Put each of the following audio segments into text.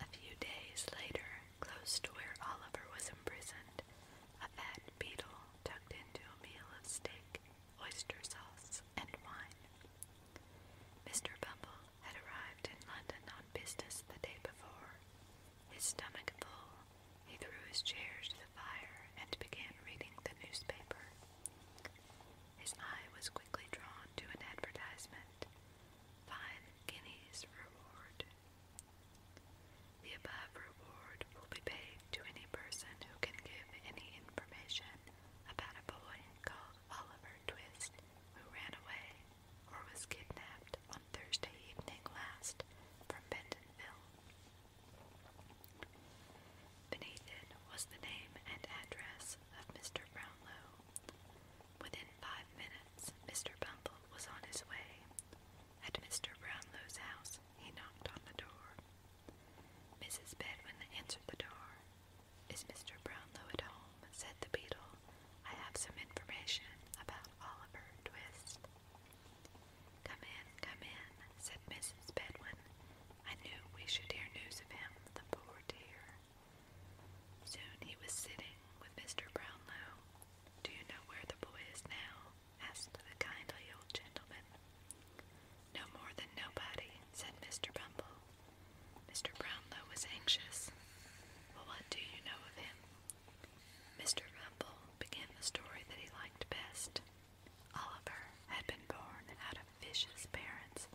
A few days later, close to where Oliver was imprisoned, a fat beetle tucked into a meal of steak, oyster sauce, and wine. Mr. Bumble had arrived in London on business the day before. His stomach full, he threw his chair to the fire and began reading the newspaper. His eye was quickly drawn to an advertisement five guineas reward. The above reward will be paid to any person who can give any information about a boy called Oliver Twist who ran away or was kidnapped on Thursday evening last from Bentonville. Beneath it was the name and address of Mr. Brownlow. Within five minutes, Mr. Bumble was on his way. At Mr. Brownlow's house, he knocked on the door. Mrs. Bedwin answered the door. Is Mr. Brownlow at home? said the beetle. I have some information about Oliver Twist. Come in, come in, said Mrs. Bedwin. I knew we should hear news of him, the poor dear. Soon he was sitting with Mr. Brownlow. Do you know where the boy is now? asked the kindly old gentleman. No more than nobody, said Mr. Bumble. Mr. Brownlow was anxious. Well, what do you know of him? Mr. Bumble began the story that he liked best. Oliver had been born out of vicious parents,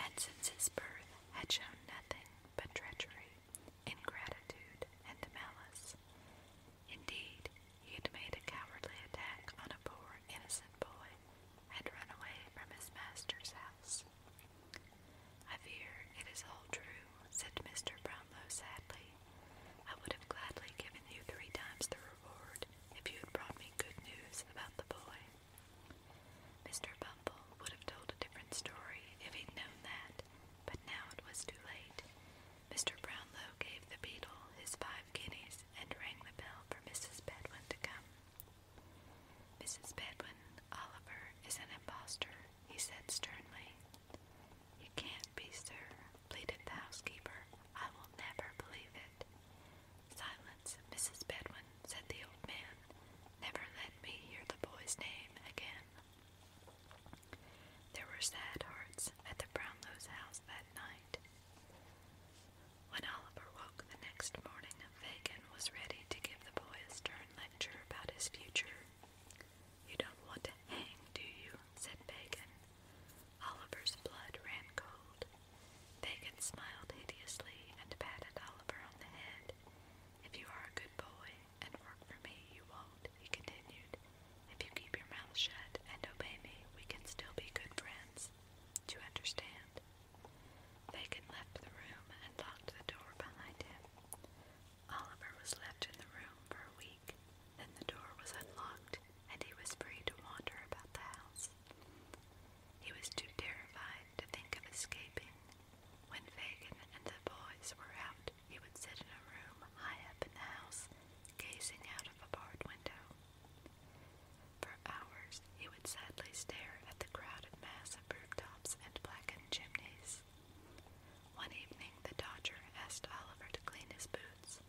and since his birth had shown nothing but treachery, ingratitude, and malice. Indeed, he had made a cowardly attack on a poor innocent boy, had run away from his master's house. I fear it is all true, said Mr. Brownlow sadly. I would have gladly given you three times the reward if you had brought good news about the boy. Mr. Bumble would have told a different story if he'd known that, but now it was too late. Mr. Brownlow gave the beetle his five guineas and rang the bell for Mrs. Bedwin to come. Mrs. Bedwin, Oliver is an impostor, he said sternly. You can't be, sir, pleaded the housekeeper. I will never believe it. Silence, Mrs. Bedwin, said the old man. Never let me hear the boy's name again. There were sad hearts at the Brownlows' house that night. When Oliver woke the next morning, Fagin was ready to give the boy a stern lecture about his future. You don't want to hang, do you? said Fagin. Oliver's blood ran cold. Bacon smiled hideously and patted Oliver on the head. If you are a good boy and work for me, you won't, he continued. If you keep your mouth shut and obey me, we can still be good friends. Do you understand? Fagin left the room and locked the door behind him. Oliver was left in the room for a week. Then the door was unlocked, and he was free to wander about the house. He was too terrified to think of escaping. When Fagin and the boys were out, he would sit in a room high up in the house, gazing out of a barred window. For hours, he would sadly stare at the crowded mass of rooftops and blackened chimneys. One evening, the Dodger asked Oliver to clean his boots,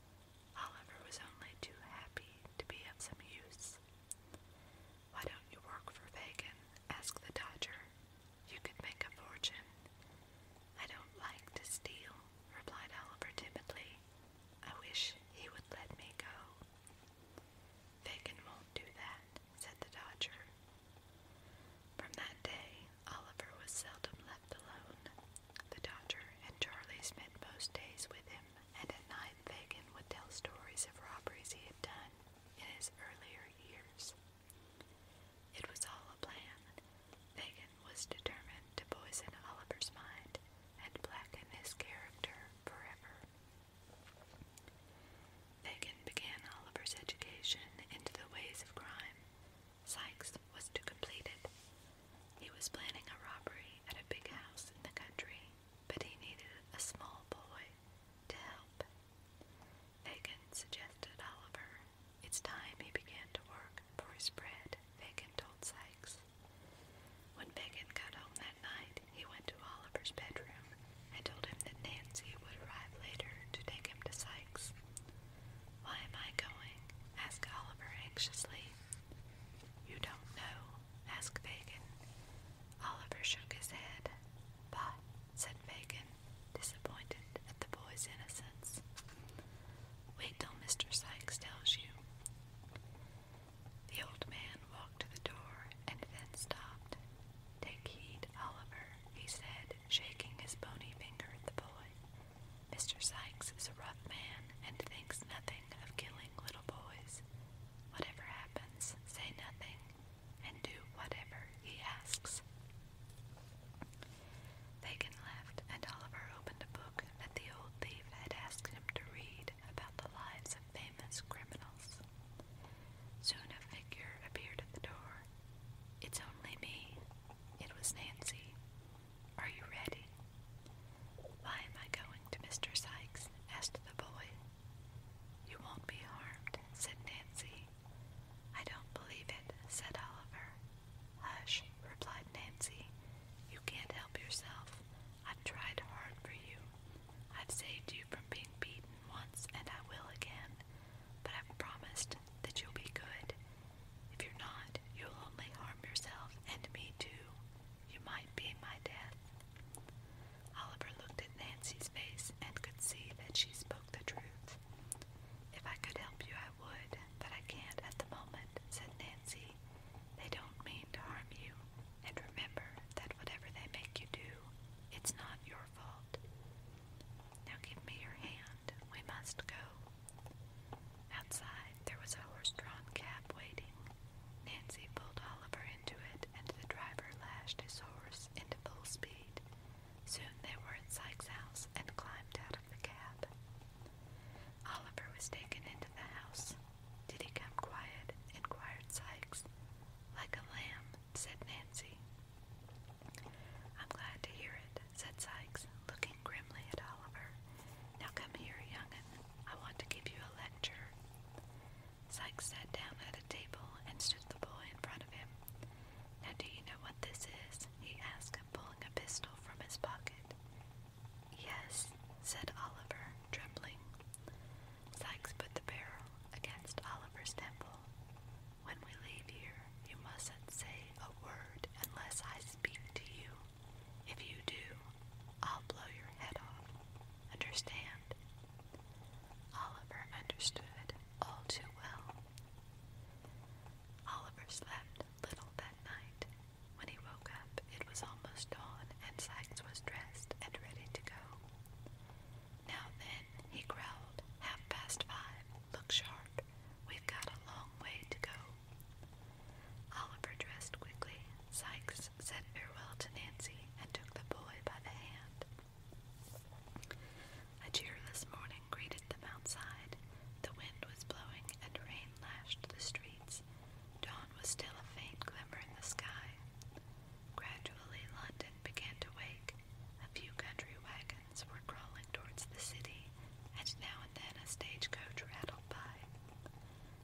Oliver was only too happy to be of some use. Why don't you work for Fagin? asked the Dodger. You could make a fortune. I don't like to steal, replied Oliver timidly. I wish he would let me go. Fagin won't do that, said the Dodger. From that day, Oliver was seldom left alone. The doctor and Charlie spent most days with him, and at night Fagin would tell stories of robberies he had done in his earlier years. It was all a plan. Fagin was determined to poison Oliver's mind and blacken his character forever. Fagin began Oliver's education into the ways of crime Sykes was to complete it. He was planning a robbery at a big house in the country, but he needed a small boy to help. Fagin suggested Oliver. It's time he began to work for his bread, Fagin told Sykes. When Fagin got home that night, he went to Oliver's bedroom and told him that Nancy would arrive later to take him to Sykes. Why am I going? asked Oliver anxiously. You don't know, asked Fagin. Oliver shook his head. But, said Fagin, disappointed at the boy's innocence. Wait till Mr. Sykes tells you. The old man walked to the door and then stopped. Take heed, Oliver, he said, shaking his bony finger at the boy. Mr. Sykes is a rough man and thinks nothing of killing little boys. Whatever happens, say nothing and do whatever he asks. Fagin left, and Oliver opened a book that the old thief had asked him to read about the lives of famous criminals. Soon a figure appeared at the door. It's only me, it was Nancy. Are you ready? Why am I going to Mr. Sykes? asked the boy. You won't be harmed, said Nancy. I don't believe it, said Oliver. Hush, replied Nancy. You can't help yourself. I've tried hard for you. I've saved you from being beaten once, and I will again but I've promised that you'll be good. If you're not, you'll only harm yourself and me too. You might be my death. Oliver looked at Nancy's face and could see that she spoke the truth. If I could help you, I would, but I can't at the moment, said Nancy. They don't mean to harm you, and remember that whatever they make you do, it's not your fault. Now give me your hand. We must go. Outside, there was a horse drawn cab waiting. Nancy pulled Oliver into it, and the driver lashed his horse into full speed. Soon they were at Sykes' house and climbed out of the cab. Oliver was taken into the house. Did he come quiet? inquired Sykes. Like a lamb, said Nancy. I'm glad to hear it, said Sykes, looking grimly at Oliver. Now come here, young'un. I want to give you a lecture. Sykes sat down at a table and stood the boy in front of him. Now do you know what this is? he asked, pulling a pistol from his pocket. Yes, said Oliver, trembling. Sykes put the barrel against Oliver's temple. When we leave here, you mustn't say a word unless I speak to you. If you do, I'll blow your head off. Understand? Oliver understood all too well. Oliver slept little that night. When he woke up, it was almost dawn, and Sykes was dressed and ready to go. Now then, he growled, half past five. Look sharp. We've got a long way to go. Oliver dressed quickly. Sykes said farewell to Nancy and took the boy by the hand. A cheerless morning greeted them outside. The wind was blowing and rain lashed the streets. Dawn was still a faint glimmer in the sky. Gradually, London began to wake. A few country wagons were crawling towards the city, and now and then a stagecoach rattled by.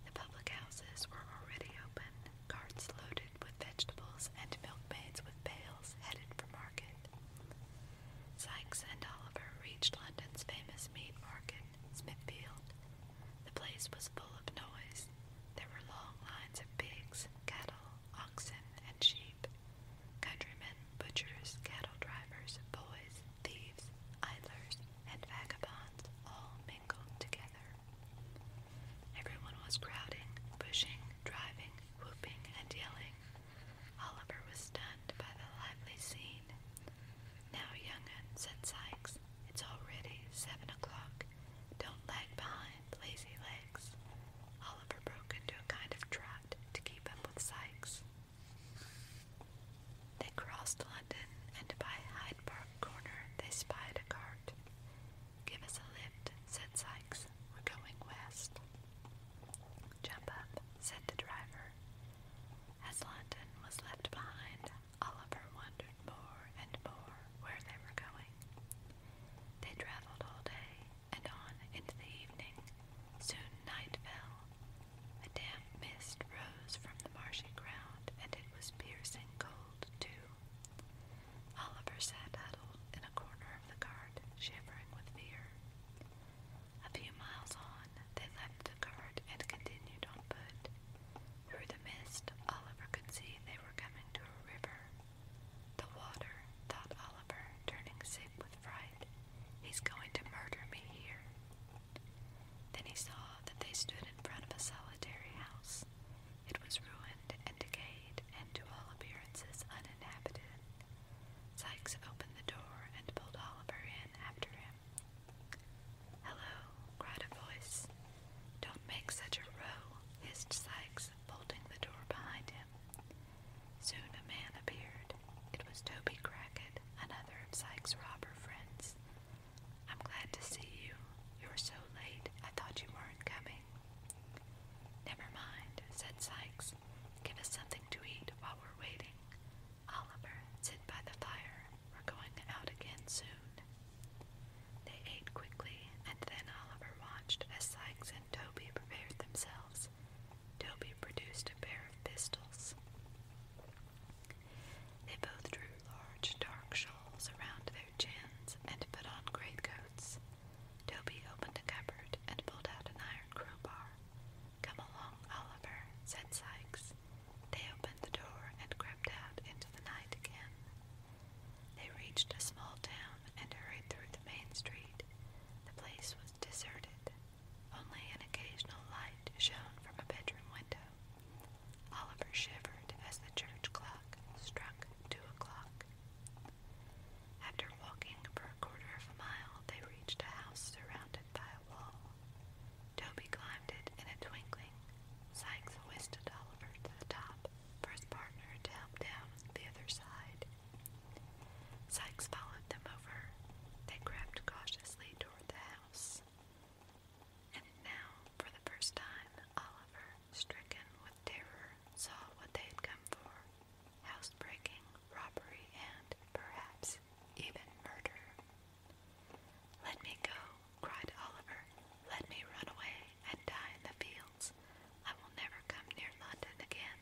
The public houses were already open, carts loaded with vegetables and milkmaids with pails headed for market. Sykes and Oliver reached London's famous meat market, Smithfield. The place was full of noise. There were long lines of pigs, cattle, oxen, and sheep, countrymen, butchers, cattle drivers, boys, thieves, idlers, and vagabonds all mingled together. Everyone was crowding, pushing, driving, whooping, and yelling. Oliver was stunned by the lively scene. Now, young'un, said Sykes, it's already seven o'clock. Don't lag behind lazy legs. Oliver broke into a kind of trot to keep up with Sykes. They crossed London, and by Hyde Park Corner they spied a cart. Give us a lift, said Sykes. We're going west. Jump up, said the driver. As London was left behind, Oliver wondered more and more where they were going. They travelled all day and on into the evening. Soon night fell. A damp mist rose from the marshy ground, and it was piercing cold, too. Oliver sat huddled in a corner of the cart, shivering with fear. A few miles on, they left the cart and continued on foot. Through the mist, Oliver could see they were coming to a river. The water, thought Oliver, turning sick with fright. He's going to murder me here. Then he saw that they stood in front of a solitary house. It was ruined and decayed, and to all appearances uninhabited. Sykes opened the door and pulled Oliver in after him. Hello, cried a voice. Don't make such a row, hissed Sykes, bolting the door behind him. Soon a man appeared. It was Toby Crackett, another of Sykes' robber friends. I'm glad to see you. You're so late, I thought you weren't coming. Never mind, said Sykes. Give us something to eat while we're waiting. Oliver, sit by the fire. We're going out again soon. They ate quickly, and then Oliver watched as Sykes and Toby prepared themselves. Toby produced a pair of pistols. They both drew large, dark shawls around their chins and put on greatcoats. Toby opened a cupboard and pulled out an iron crowbar. Come along, Oliver, said Sykes. They opened the door and crept out into the night again. They reached a small town and hurried through the main street. The place was deserted. Only an occasional light shone from a bedroom window. Oliver shivered as the church clock struck two o'clock. After walking for a quarter of a mile, they reached a house surrounded by a wall. Toby climbed it in a twinkling Sykes whisked Oliver to the top for his partner to help down the other side. Sykes followed them over. They crept cautiously toward the house. And now, for the first time, Oliver, stricken with terror, saw what they had come for housebreaking, robbery, and perhaps even murder. Let me go, cried Oliver. Let me run away and die in the fields. I will never come near London again.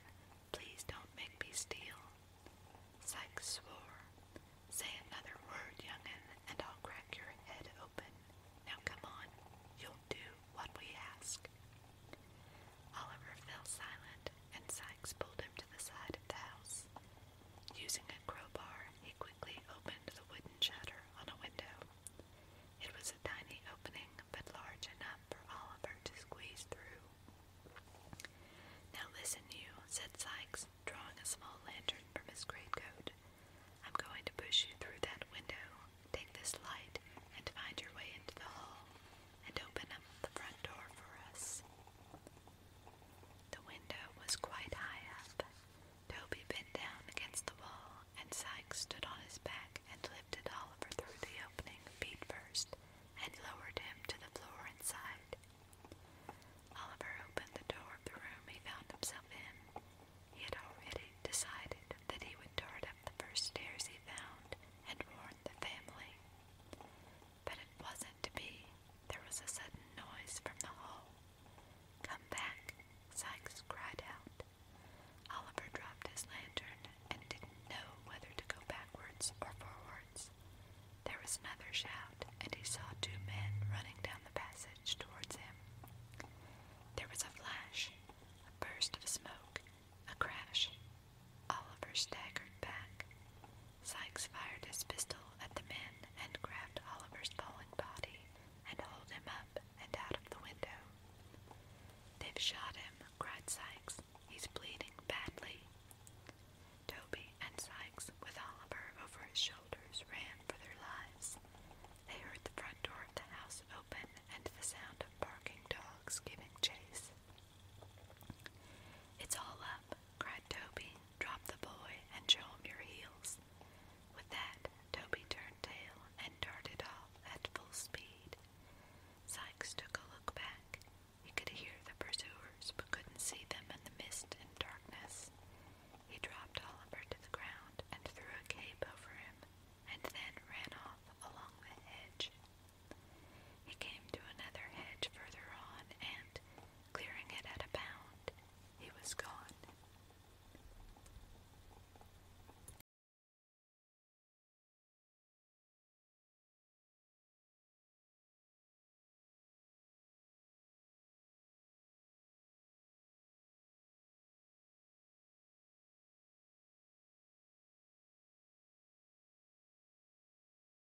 Please don't make me steal. Sykes swore. Say another word, young'un, and I'll crack your head open. Now come on, you'll do what we ask. Oliver fell silent, and Sykes pulled him to the side of the house. Using a crowbar, he quickly opened the wooden shutter on a window. It was a tiny opening, but large enough for Oliver to squeeze through. Now listen, you, said Sykes, drawing a small lantern from his greatcoat. I'm going to push you through that window. Take this light and find your way into the hall, and open up the front door for us. The window was quite high up, Toby bent down against the wall, and Sykes stood on his back and lifted Oliver through the opening, feet first, and lowered him to the floor inside. Oliver opened the door of the room he found himself in. He had already decided that he would dart up the first stairs he found and warn the family. But it wasn't to be. There was a sudden noise from the hall, Come back, Sykes cried out. Oliver dropped his lantern and didn't know whether to go backwards or forwards. There was another shout, and he saw two men running down the passage towards him. There was a flash, a burst of smoke, a crash. Oliver staggered back. Sykes fired his pistol at the men and grabbed Oliver's falling body and held him up and out of the window. They've shot him, cried Sykes. He's bleeding badly. Toby and Sykes, with Oliver over his shoulders, ran for their lives. They heard the front door of the house open and the sound of barking dogs giving chase. It's all up, cried Toby. Drop the boy and show him your heels. With that, Toby turned tail and darted off at full speed. Sykes took a look back. He could hear the pursuers, but couldn't see them in the mist and darkness. He dropped Oliver to the ground and threw a cape over him, and then ran off along the hedge. He came to another hedge further on, and Clearing it at a bound, he was gone.